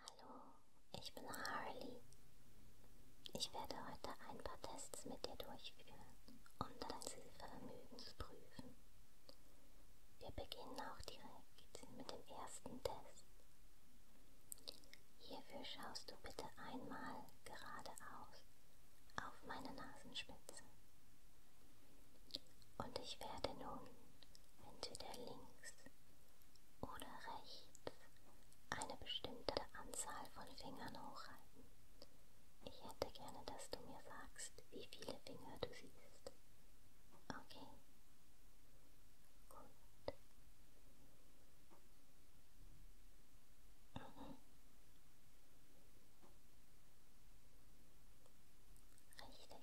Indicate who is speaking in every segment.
Speaker 1: Hallo, ich bin Harley. Ich werde heute ein paar Tests mit dir durchführen, um dein Sehvermögen zu prüfen. Wir beginnen auch direkt mit dem ersten Test. Hierfür schaust du bitte einmal geradeaus auf meine Nasenspitze. Und ich werde nun entweder links oder rechts eine bestimmte Anzahl von Fingern hochhalten. Ich hätte gerne, dass du mir sagst, wie viele Finger du siehst. Okay. Gut. Mhm. Richtig.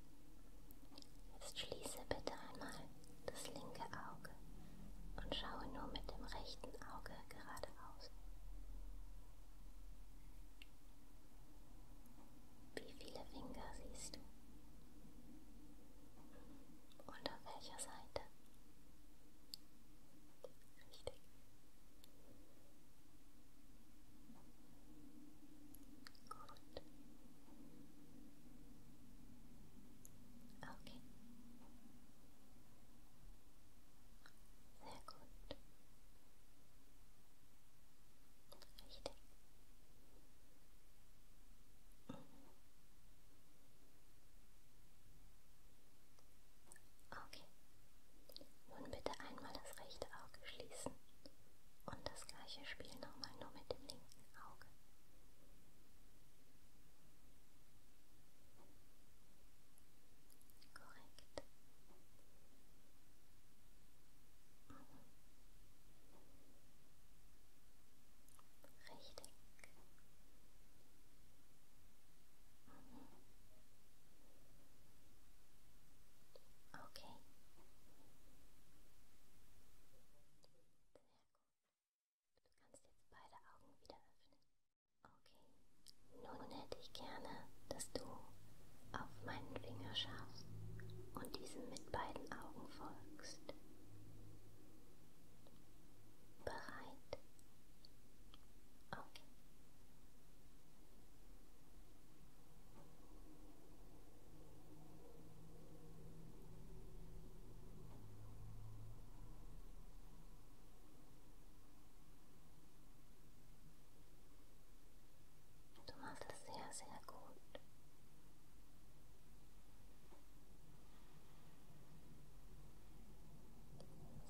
Speaker 1: Jetzt schließe bitte einmal das linke Auge und schaue nur mit dem rechten Auge geradeaus. Wie viele Finger siehst du? Und auf welcher Seite? Richtig. Gut. Okay. Sehr gut. Richtig. Mhm. Okay. Nun bitte einmal das rechte Auge schließen und das gleiche Spiel nochmal nur mit dem linken. Auge. Korrekt. Mhm. Richtig. Mhm. Okay. Sehr gut. Du kannst jetzt beide Augen wieder öffnen. Okay, nun hätte ich gerne, dass du auf meinen Finger schaust und diesem mit beiden Augen folgst. Bereit? Okay. Du machst es sehr, sehr gut.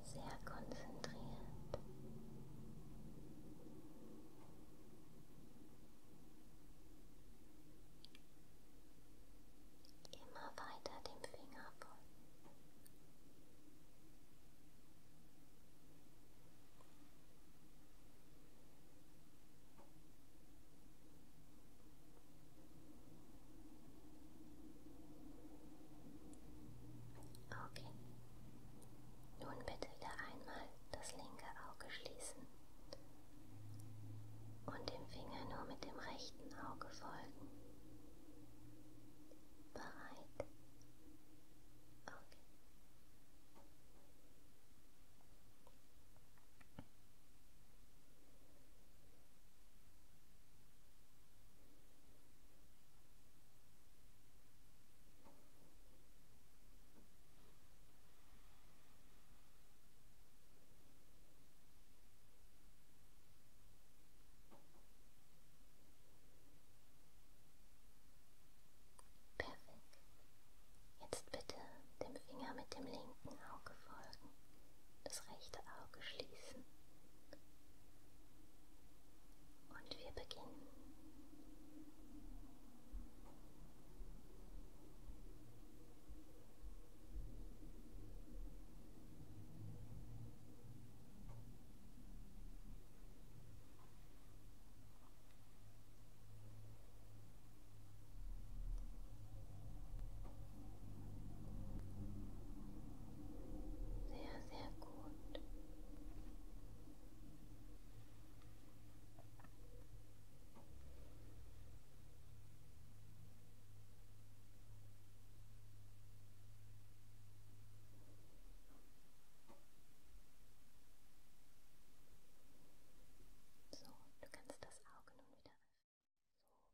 Speaker 1: Sehr konzentriert. Immer weiter dem Finger folgen. Okay. Nun bitte wieder einmal das linke Auge schließen und dem Finger nur mit dem rechten Auge folgen. Bereit? Okay. Perfekt. Jetzt bitte dem Finger mit dem linken Auge folgen, das rechte Auge schließen. Und wir beginnen. Sehr, sehr gut. So, du kannst das Auge nun wieder öffnen.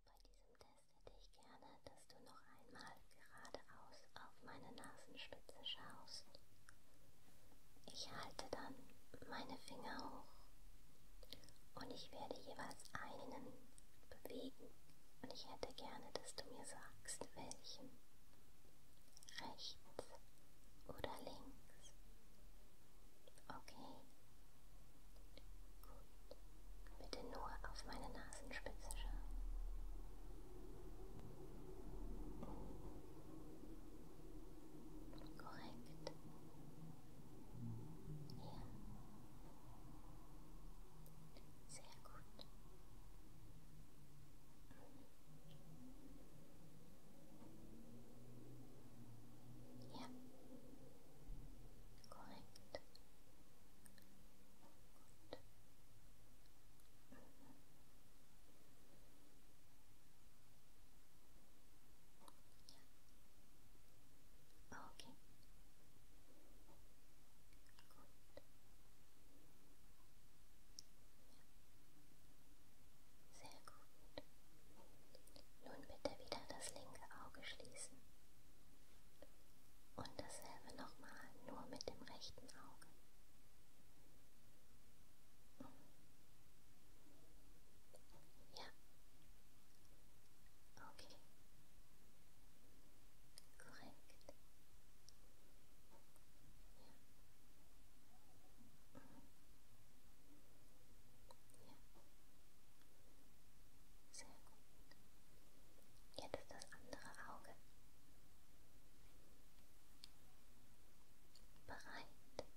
Speaker 1: So, bei diesem Test hätte ich gerne, dass du noch einmal geradeaus auf meine Nasenspitze schaust. Ich halte dann meine Finger hoch und ich werde jeweils einen bewegen und ich hätte gerne, dass du mir sagst, welchen. Rechts oder links. Okay. Gut. Bitte nur auf meine Nasenspitze schauen. Korrekt. Ja. Sehr gut. Ja. Korrekt. Gut. Mhm. Ja. Okay. Gut. Ja. Sehr gut. Nun bitte wieder das linke Auge schließen. Und dasselbe nochmal, nur mit dem rechten Auge. Ja. Okay. Korrekt. Ja. Ja. Sehr gut. Jetzt das andere Auge. Bereit.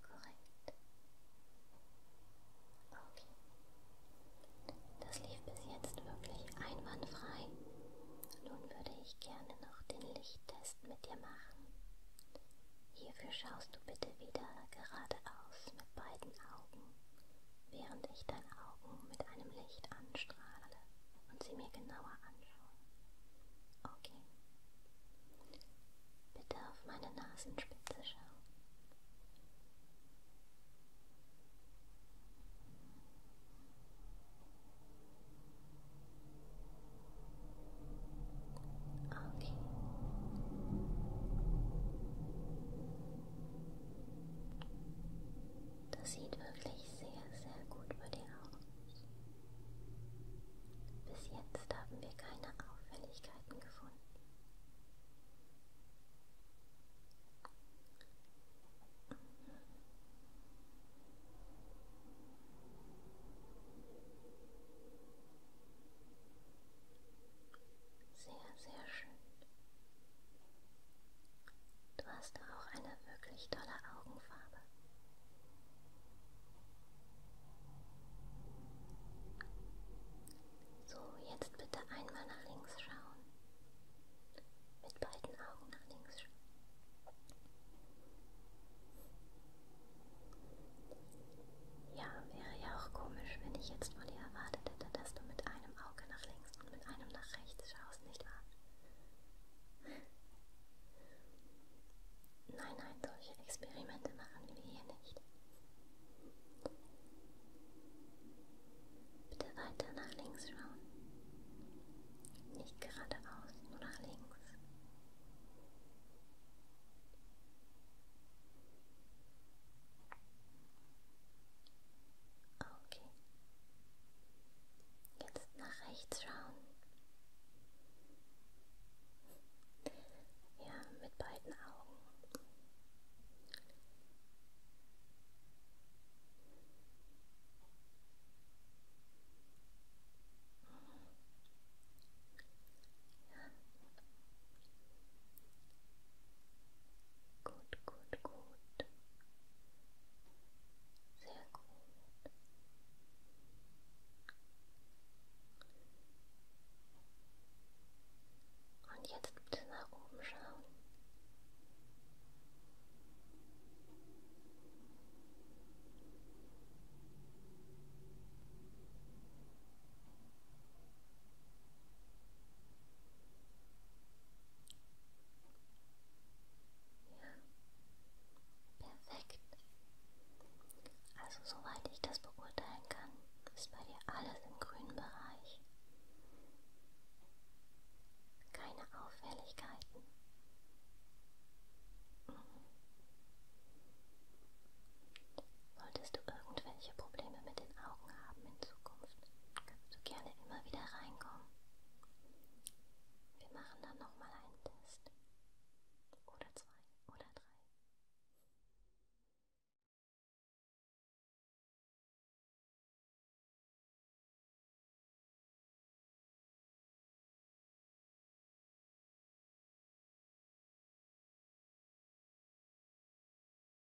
Speaker 1: Korrekt. Okay. Das lief bis jetzt wirklich einwandfrei. Nun würde ich gerne noch den Lichttest mit dir machen. Hierfür schaust du bitte wieder geradeaus mit beiden Augen während ich deine Augen mit einem Licht anstrahle und sie mir genauer anschaue. Okay. Bitte auf meine Nasenspitze schauen. Okay. Das sieht wirklich sehr, sehr gut bei dir aus. Bis jetzt haben wir keine Auffälligkeiten gefunden. Sehr, sehr schön. Du hast auch eine wirklich tolle Augenfarbe. So, jetzt bitte einmal nach links schauen. Mit beiden Augen nach links schauen. Ja, wäre ja auch komisch, wenn ich jetzt von dir erwartet hätte, dass du mit einem Auge nach links mit einem nach rechts schaust, nicht wahr? Nein, nein, solche Experimente machen wir hier nicht. Bitte weiter nach links schauen. Nicht geradeaus, nur nach links. Okay. Jetzt nach rechts schauen. Ja, mit beiden Augen. Ja. Gut, gut, gut. Sehr gut. Und jetzt bitte nach oben schauen. Ja. Perfekt. Also soweit ich das beurteilen kann, ist bei dir alles im grünen Bereich. Keine Auffälligkeiten. Mhm. Solltest du irgendwelche Probleme mit den Augen haben in Zukunft, kannst du gerne immer wieder reinkommen. Wir machen dann nochmal einen Test. Oder zwei oder drei.